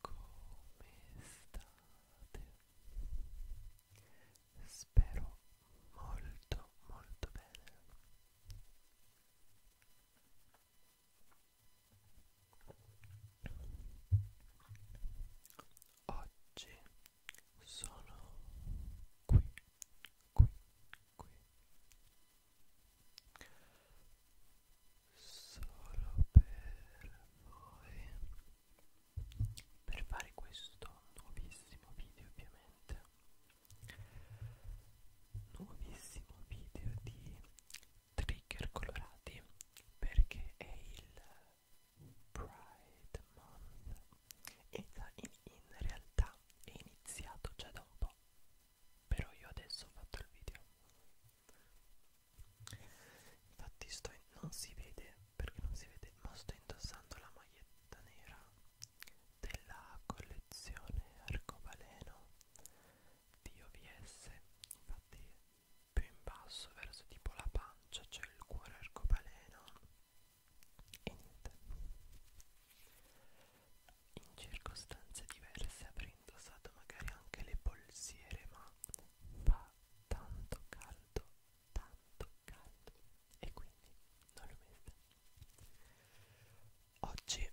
Come state? Spero molto molto bene. Oggi sono qui, qui, qui solo per voi per fare questo nuovissimo video ovviamente nuovissimo video di trigger colorati perché è il Pride Month in, in realtà è iniziato già da un po' però io adesso ho fatto il video infatti sto in, non si vede perché non si vede ma sto indossando la maglietta nera della collezione arcobaleno di OVS infatti più in basso verso tipo la pancia c'è il cuore arcobaleno e niente in circostanze diverse avrei indossato magari anche le polsiere ma fa tanto caldo tanto caldo e quindi non l'ho messa oggi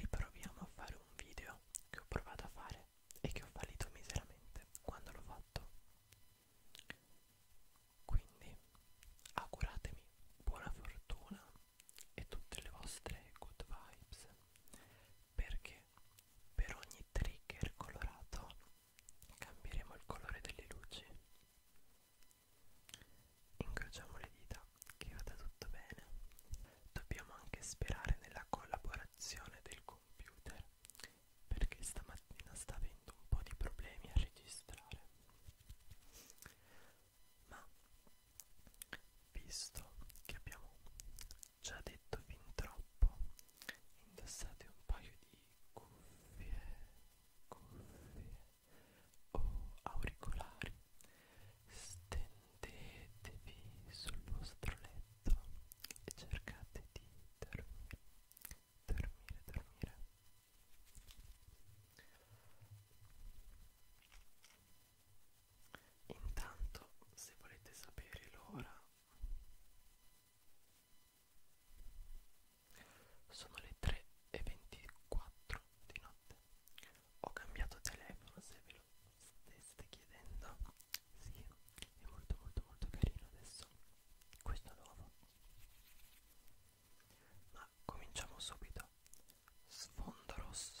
riproviamo a fare un video che ho provato a fare e che ho fallito miseramente quando l'ho fatto quindi auguratemi buona fortuna e tutte le vostre good vibes perché per ogni trigger colorato cambieremo il colore delle luci incrociamo le dita che vada tutto bene dobbiamo anche sperare nella collaborazione del computer perché stamattina sta avendo un po' di problemi a registrare ma Visto che abbiamo già detto fin troppo, indossate un paio di cuffie, cuffie o auricolari, stendetevi sul vostro letto e cercate di dormire, dormire, dormire. Intanto, se volete sapere l'ora, sono le 3 e 24 di notte. Ho cambiato telefono, se ve lo steste chiedendo. Sì, è molto molto molto carino adesso. Questo nuovo. Ma cominciamo subito. Sfondo rosso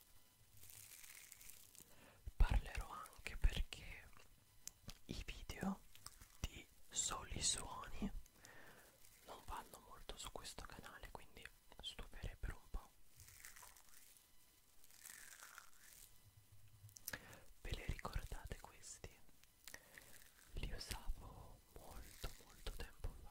Parlerò anche perché i video di soli suoni non vanno molto su questo canale, quindi stuperebbero un po'. Ve le ricordate questi? Li usavo molto molto tempo fa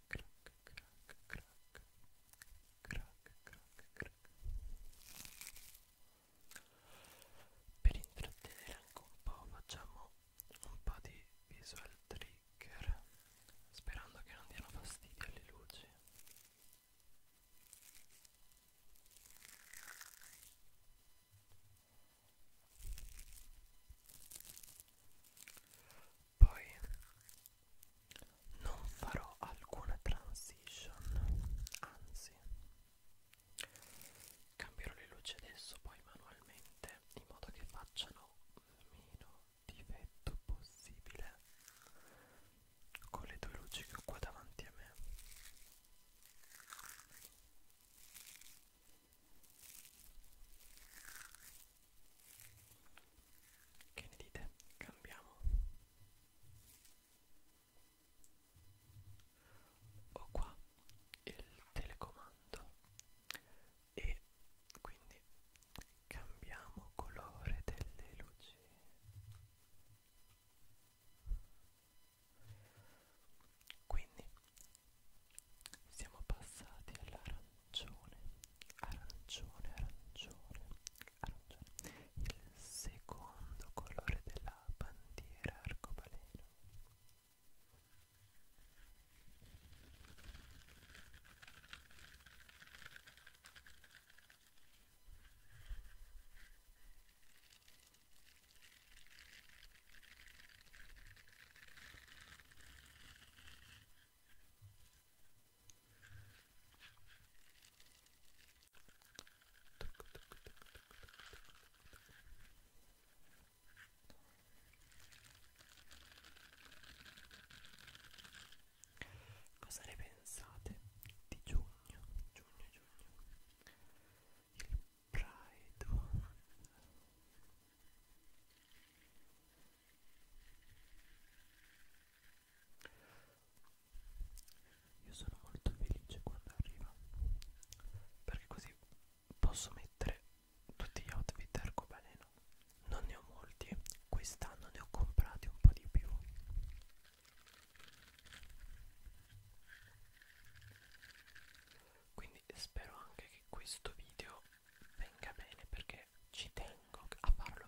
crack, crack, crack, crack, crack, crack. Per intrattenere anche un po' facciamo un po' di visual trigger sperando che non diano fastidio alle luci poi non farò alcuna transition anzi cambierò le luci adesso poi manualmente in modo che facciano meno difetto possibile con le due luci che ho qua davanti a me che ne dite? Cambiamo. Ho qua il telecomando e quindi cambiamo colore delle luci. Quindi siamo passati all'arancione arancione, arancione, arancione, arancione. Il secondo colore della bandiera arcobaleno. Cosa ne pensate di giugno? Giugno, giugno. Il Pride. Io sono molto felice quando arriva perché così posso mettere tutti gli outfit arcobaleno. Non ne ho molti, quest'anno ne ho comprati un po' di più. Quindi spero anche che questo video venga bene perché ci tengo a farlo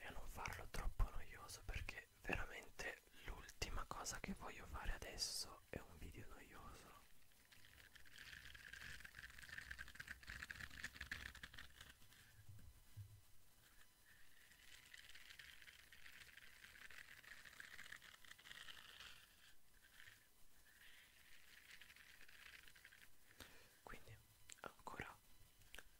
e a non farlo troppo noioso perché veramente l'ultima cosa che voglio fare adesso è un video noioso quindi ancora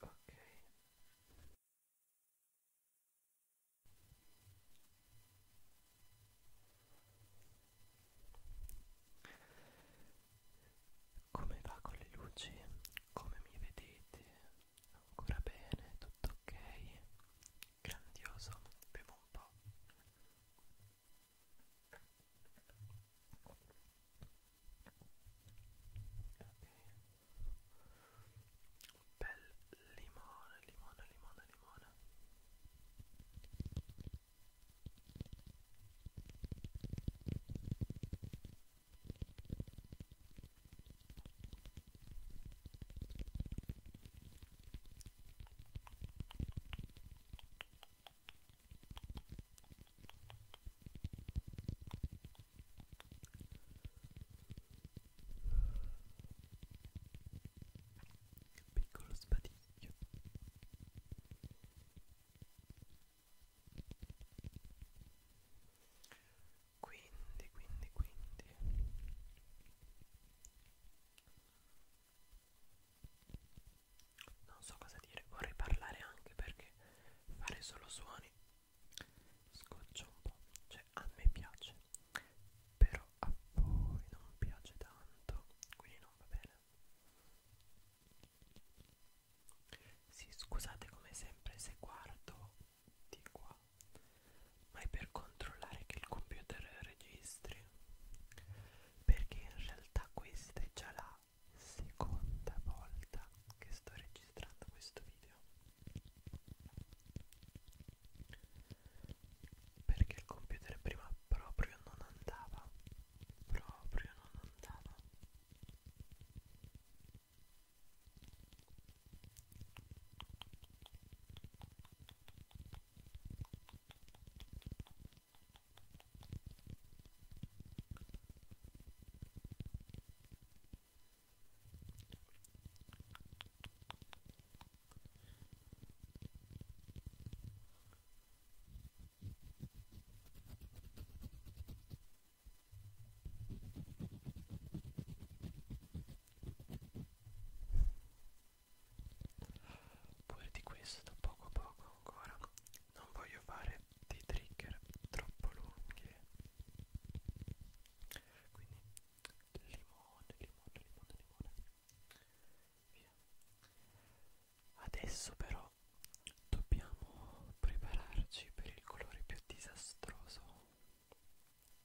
ok come va con le luci? come mi vedete? ancora bene? tutto ok? grandioso bevo un po' ok bel limone limone limone limone piccolo spadiglio quindi quindi quindi non so cosa dire vorrei parlare anche perché fare solo suoni scoccia un po', cioè a me piace però a voi non piace tanto quindi non va bene sì scusate come sempre se guardo di qua ma è per controllare che il computer registri perché in realtà questa è già la seconda volta che sto registrando questo video perché il computer prima proprio non andava proprio non andava Pure di questo da poco a poco ancora. Non voglio fare dei trigger troppo lunghi quindi limone limone limone limone via adesso però dobbiamo prepararci per il colore più disastroso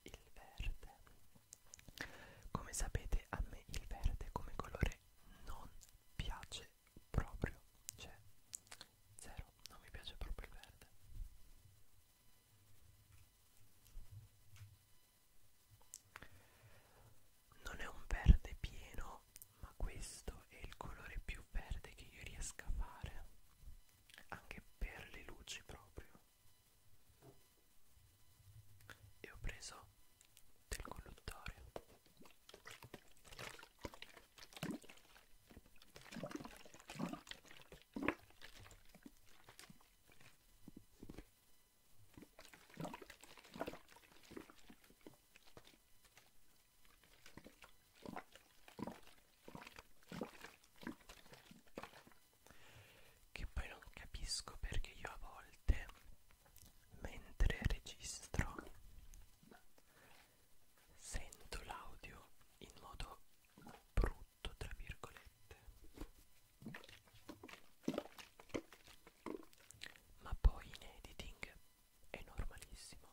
il verde come sapete a me il verde come colore non piace proprio cioè Zero, non mi piace proprio il verde. Non è un verde pieno, ma questo è il colore più verde che io riesca a fare, anche per le luci proprio. E ho preso del colluttore che poi non capisco perché io a volte mentre registro sento l'audio in modo brutto tra virgolette ma poi in editing è normalissimo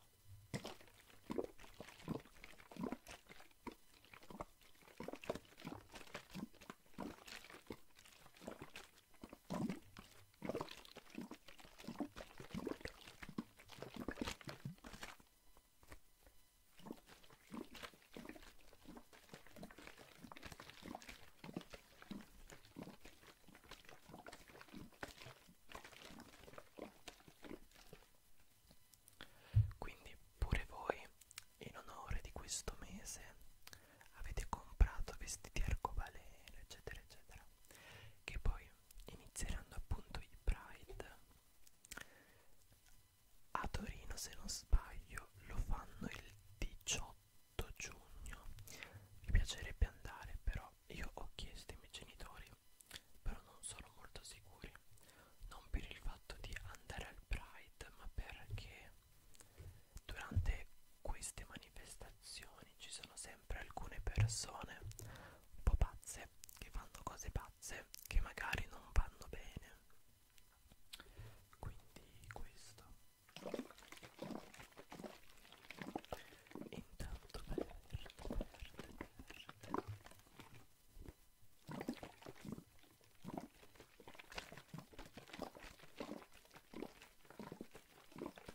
quindi pure voi in onore di questo mese avete comprato vestiti arcobaleno eccetera eccetera che poi inizieranno appunto i Pride a Torino se non sbaglio lo fanno il 18 giugno mi piacerebbe andare però io ho chiesto ai miei genitori però non sono molto sicuri non per il fatto di andare al Pride ma perché durante queste manifestazioni stazioni ci sono sempre alcune persone un po' pazze che fanno cose pazze che magari non vanno bene quindi questo intanto verde verde verde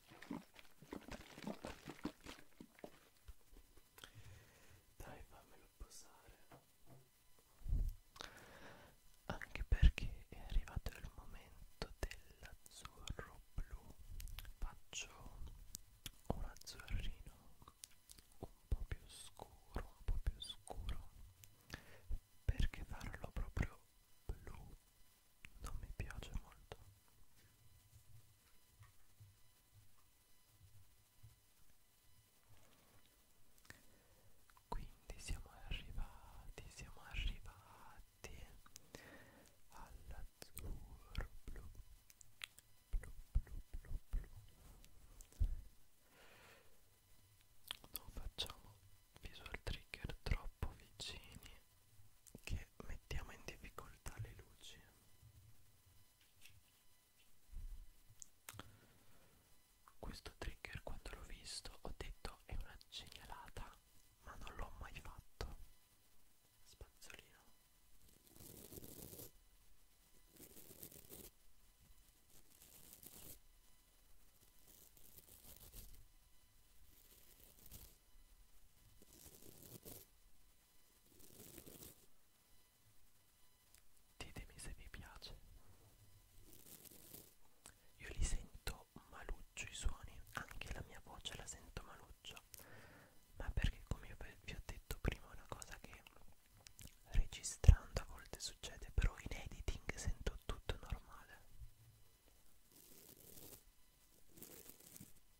Dai, fammelo posare. Anche perché è arrivato il momento dell'azzurro blu. Faccio un azzurrino un po' più scuro, un po' più scuro. Perché farlo proprio blu non mi piace molto quindi siamo arrivati siamo arrivati all'azzurro blu blu blu blu blu non facciamo visual trigger troppo vicini che mettiamo in difficoltà le luci questo trigger quando l'ho visto ho detto è una genialata ma non l'ho mai fatto spazzolino Ditemi se vi piace. Io li sento maluccio i suoni, anche la mia voce la sento maluccio, ma perché come vi ho detto prima è una cosa che registrando a volte succede, però in editing sento tutto normale.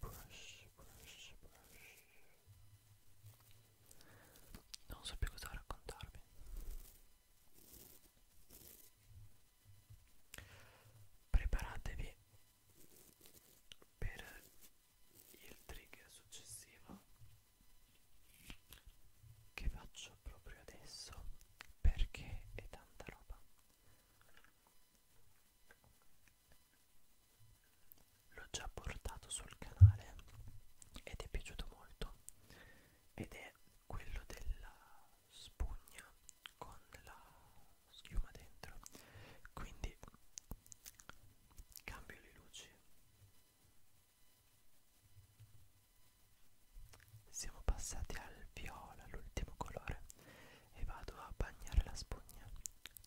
brush, brush, brush. Non so più cosa raccontarvi. Preparatevi per il trigger successivo che faccio proprio adesso perché è tanta roba l'ho già portato sul canale ed è piaciuto molto ed è quello della spugna con la schiuma dentro quindi cambio le luci siamo passati al viola l'ultimo colore e vado a bagnare la spugna.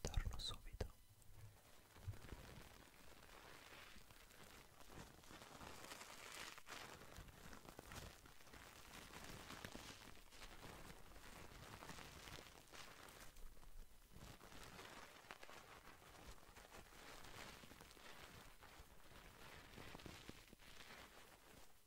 Torno subito.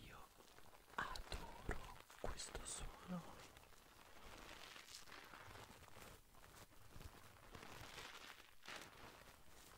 Io adoro questo suono.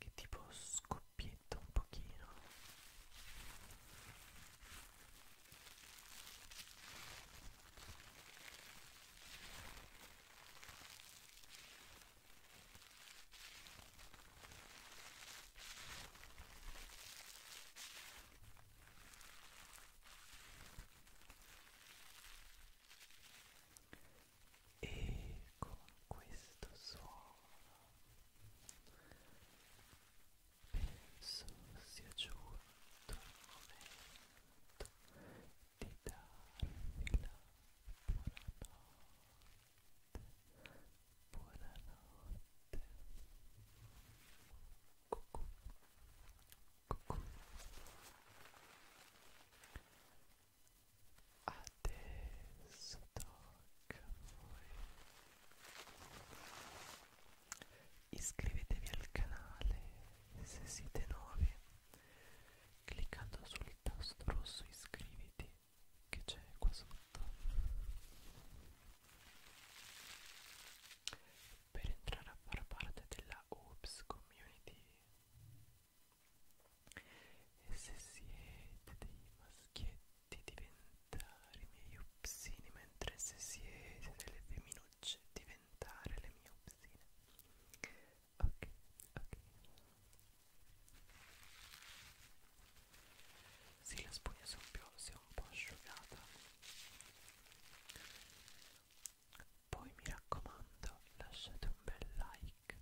che tipo scoppietta un pochino e con questo suono penso sia giunto il momento di darvi la buonanotte buonanotte cucù Cucù. Adesso tocca a voi. Iscrivetevi al canale se siete nuovi cliccando sul tasto rosso iscriviti che c'è qua sotto per entrare a far parte della Oops Community e se siete dei maschietti diventare i miei upsini mentre se siete delle femminucce diventare le mie upsine ok ok sì la spugna si è un po' asciugata poi mi raccomando lasciate un bel like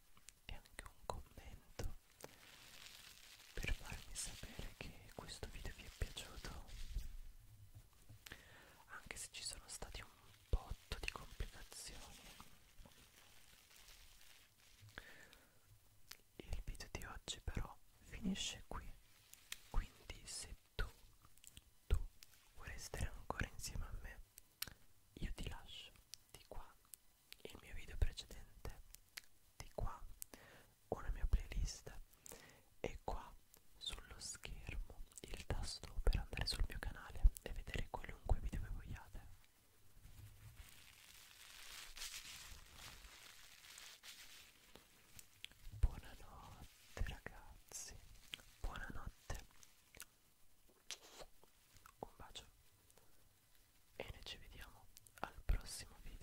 e anche un commento per farmi sapere che questo video vi è piaciuto anche se ci sono stati un botto di complicazioni il video di oggi però finisce qui quindi se tu, tu vuoi restare ancora insieme a me? Io ti lascio di qua il mio video precedente, di qua una mia playlist e qua sullo schermo il tasto per andare sul mio canale e vedere qualunque video che vogliate. Buonanotte ragazzi, buonanotte. Un bacio e noi ci vediamo al prossimo video.